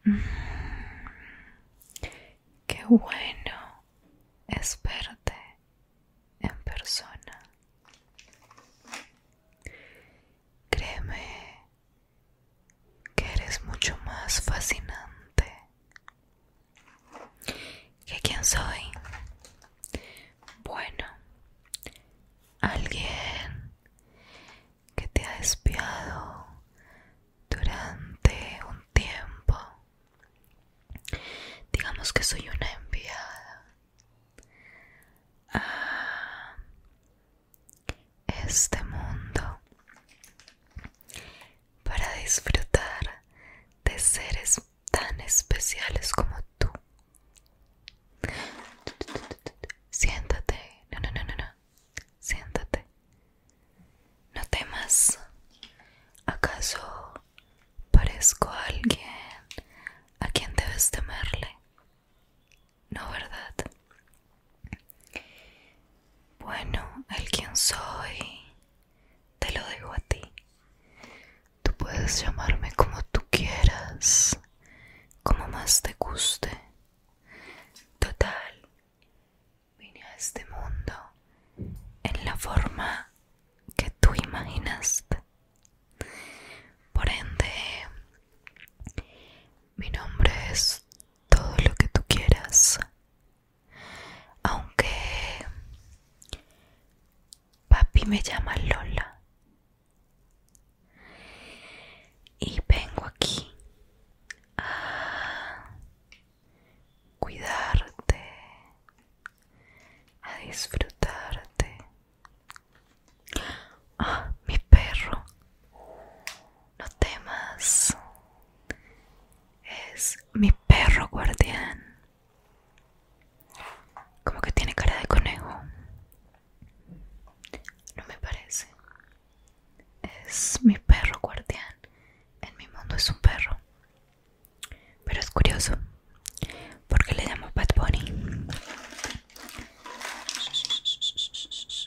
Qué bueno es verte en persona. Créeme que eres mucho más fascinante que quién soy. Bueno, alguien que te ha espiado durante un tiempo. Digamos que soy una enviada a este mundo para disfrutar de seres tan especiales como tú. Siéntate, no, no, no, no, no siéntate. No temas. ¿Acaso parezco a alguien a quien debes temerle? No, ¿verdad? Bueno, el quien soy te lo digo a ti. Tú puedes llamarme como tú quieras, como más te guste. Total, vine a este mundo en la forma que tú imaginaste. Por ende, mi nombre es todo lo que tú quieras. Aunque papi me llama Lola y vengo aquí a cuidarte, a disfrutarte. Ah, mi perro, no temas. Es mi perro guardián. Como que tiene cara de conejo. No me parece. Es mi perro guardián. En mi mundo es un perro. Pero es curioso. Porque le llamo Bad Bunny.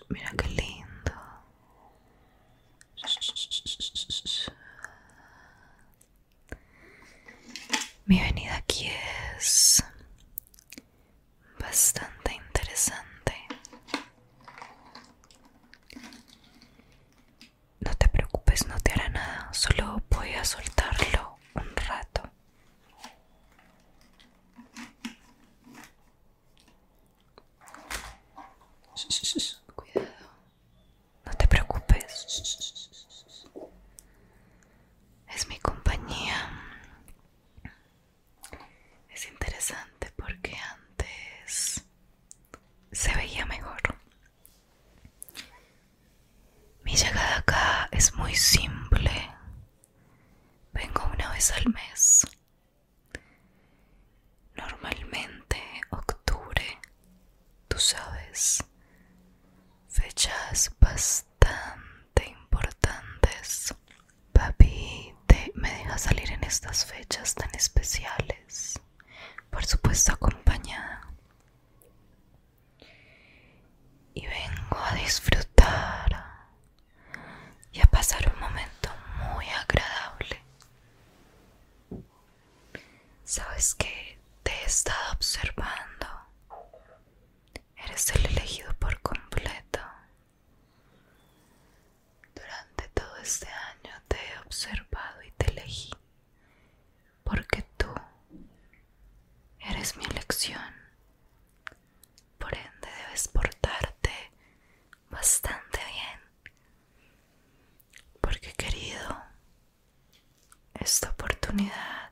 Mira qué lindo. Mi venida aquí es bastante interesante. No te preocupes, no te hará nada, solo voy a soltarlo un rato. Cuidado, no te preocupes. Es mi compañía. Es interesante porque antes se veía mejor. Mi llegada acá es muy simple. Vengo una vez al mes. Normalmente octubre, tú sabes, fechas bastante Tan importantes. Papi, ¿te me deja salir en estas fechas tan especiales? Por supuesto acompañada. Y vengo a disfrutar y a pasar un momento muy agradable. Sabes que te he estado observando Eres el elegido por completo. Durante todo este año te he observado y te elegí, porque tú eres mi elección. Por ende debes portarte bastante bien, porque querido, esta oportunidad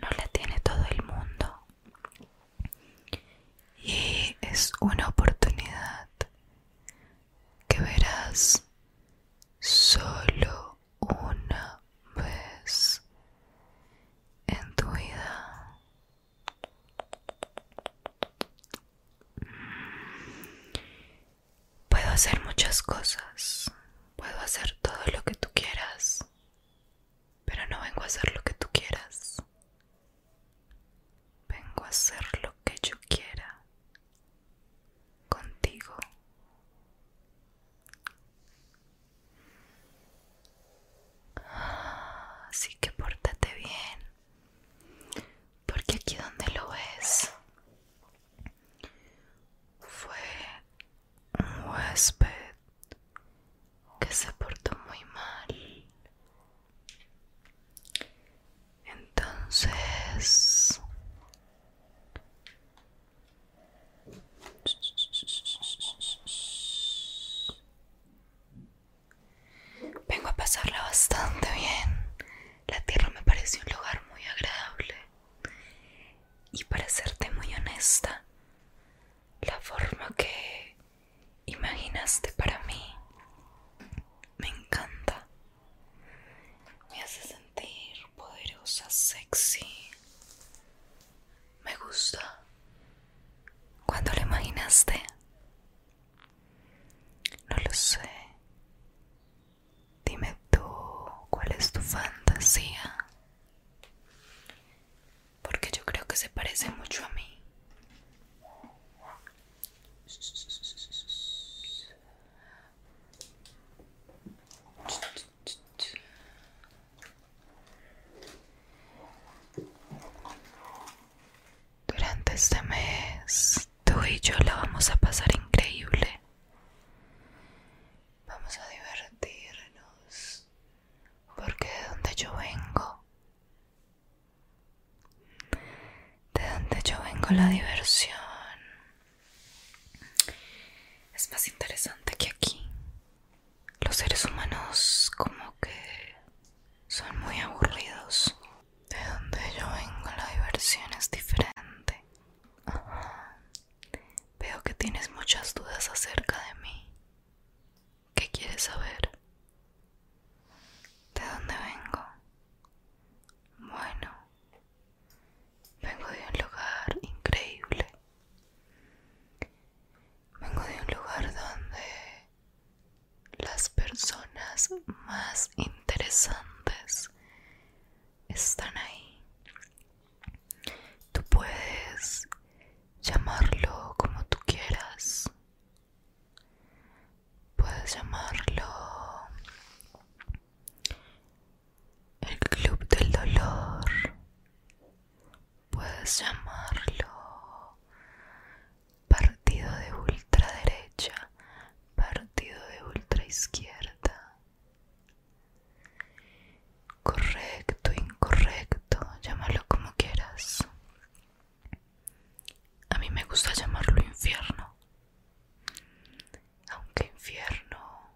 no la tiene todo el mundo y es una oportunidad que verás solo una vez en tu vida. Puedo hacer muchas cosas, Puedo hacer todo lo que tú quieras, pero no vengo a hacer lo que tú quieras. Vengo a hacer lo que yo quiera contigo. Así que pórtate bien, porque aquí donde lo ves fue un huésped que se portó muy mal. Entonces... Vengo a pasarla bastante bien. La tierra me pareció un lugar muy agradable y para serte muy honesta, la forma que imaginaste para mí me encanta. Me hace sentir poderosa, sexy. Me gusta. ¿Cuándo lo imaginaste? No lo sé. Dime tú, ¿cuál es tu fantasía? Porque yo creo que se parece mucho a mí. Durante este mes, tú y yo la vamos a pasar increíble. Vamos a divertirnos, porque de donde yo vengo, de donde yo vengo la diversión es más interesante que aquí. Los seres humanos como que son muy aburridos. De donde yo vengo la diversión es diferente. Veo que tienes muchas dudas acerca de mí. ¿Qué quieres saber? ¿De dónde vengo? Bueno, vengo de un lugar increíble. Vengo de un lugar donde las personas más interesantes están ahí. Tú puedes llamarlo como tú quieras. Puedes llamarlo el club del dolor. Puedes llamarlo partido de ultraderecha partido de ultra izquierda. Correcto, incorrecto, llámalo como quieras. A mí me gusta llamarlo infierno. Aunque infierno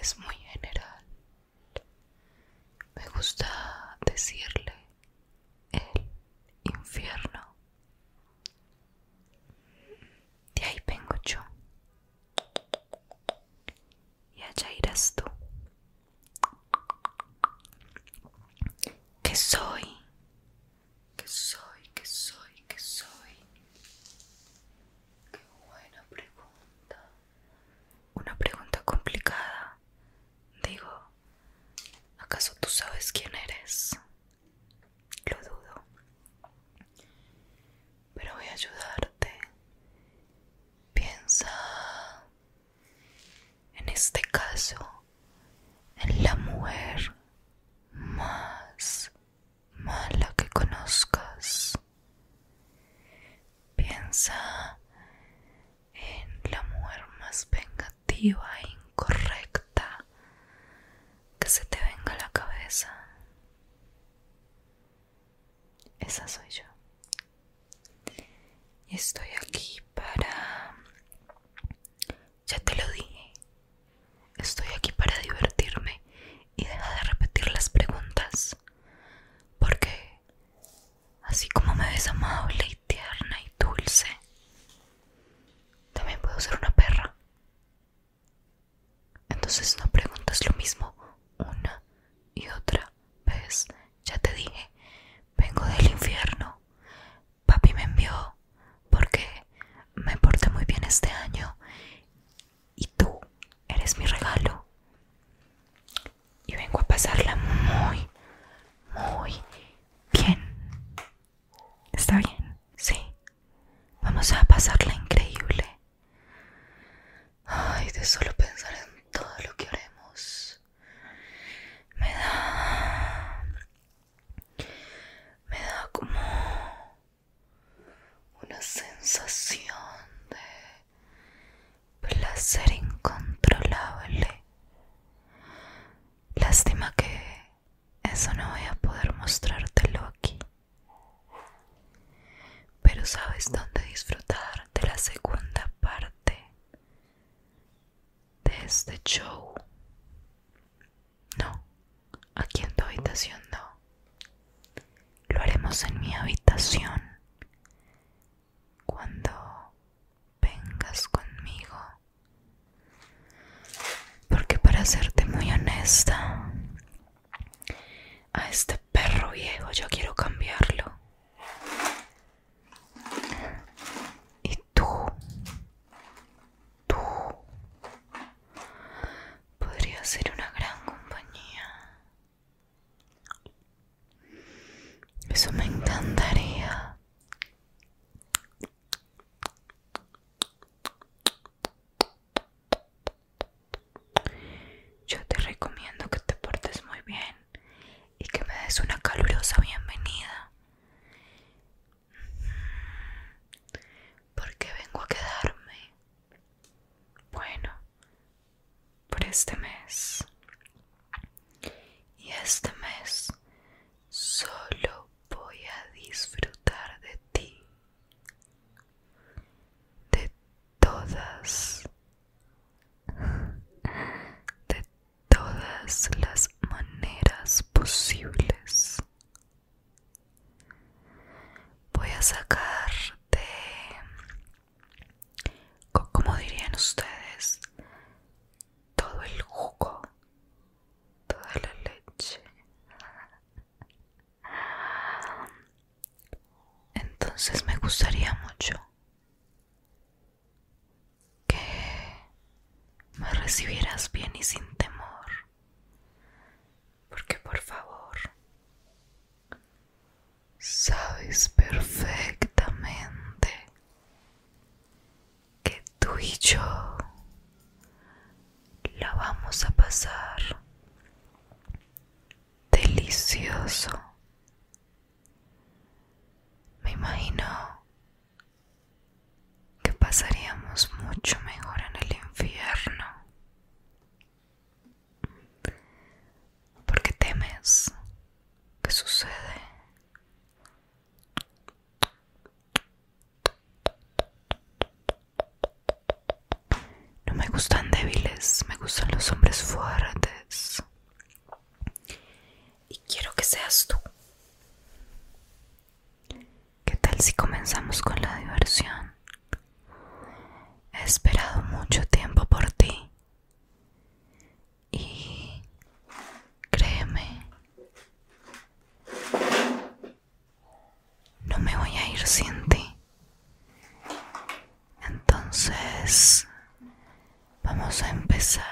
es muy general. Me gusta decirle el infierno de ahí vengo yo y allá irás tú ¿Qué soy ¿Qué soy ¿Qué soy ¿Qué soy qué buena pregunta una pregunta complicada digo acaso tú sabes quién eres lo dudo. Pero voy a ayudarte. Piensa en este caso en la mujer más mala que conozcas. Piensa en la mujer más vengativa e incorrecta que se te venga la cabeza. Esa soy yo. Y estoy aquí para... Ya te lo dije. Estoy aquí para divertirme y deja de repetir las preguntas. Porque así como me ves amable y tierna y dulce, también puedo ser una perra. Entonces no preguntas lo mismo una y otra vez. Ya te dije, vengo del infierno. Papi me envió porque me porté muy bien este año y tú eres mi regalo. Y vengo a pasarla muy, muy bien. ¿Está bien? Sí. Vamos a pasarla increíble. Ay, de solo pensar en todo lo que haremos. Me da... Me da como... Una sensación de placer incontrolable. Lástima que eso no voy a poder mostrártelo aquí. Pero sabes dónde disfrutar de la segunda parte de este show. No, aquí en tu habitación no. Lo haremos en mi habitación. Cuando vengas conmigo. Porque para serte muy honesta, a este perro viejo yo quiero cambiarlo. Y tú, tú, podrías ser una gran compañía. Eso me encantaría. Yo te recomiendo que te portes muy bien y que me des una calurosa bienvenida. Porque vengo a quedarme. Bueno, por este mes. Y este mes Solo voy a disfrutar de ti, de todas, de todas las maneras posibles. Voy a sacarte, como dirían ustedes, todo el jugo, toda la leche. Entonces me gustaría mucho que me recibieras bien y sin temor. Porque por favor, sabes perfectamente que tú y yo la vamos a pasar delicioso. Me imagino que pasaríamos mucho mejor en el infierno porque temes que sucede. No me gustan débiles, me gustan los hombres fuertes. Y quiero que seas tú. ¿Qué tal si comenzamos con la diversión? He esperado mucho tiempo por ti y créeme, no me voy a ir sin ti. Entonces, vamos a empezar.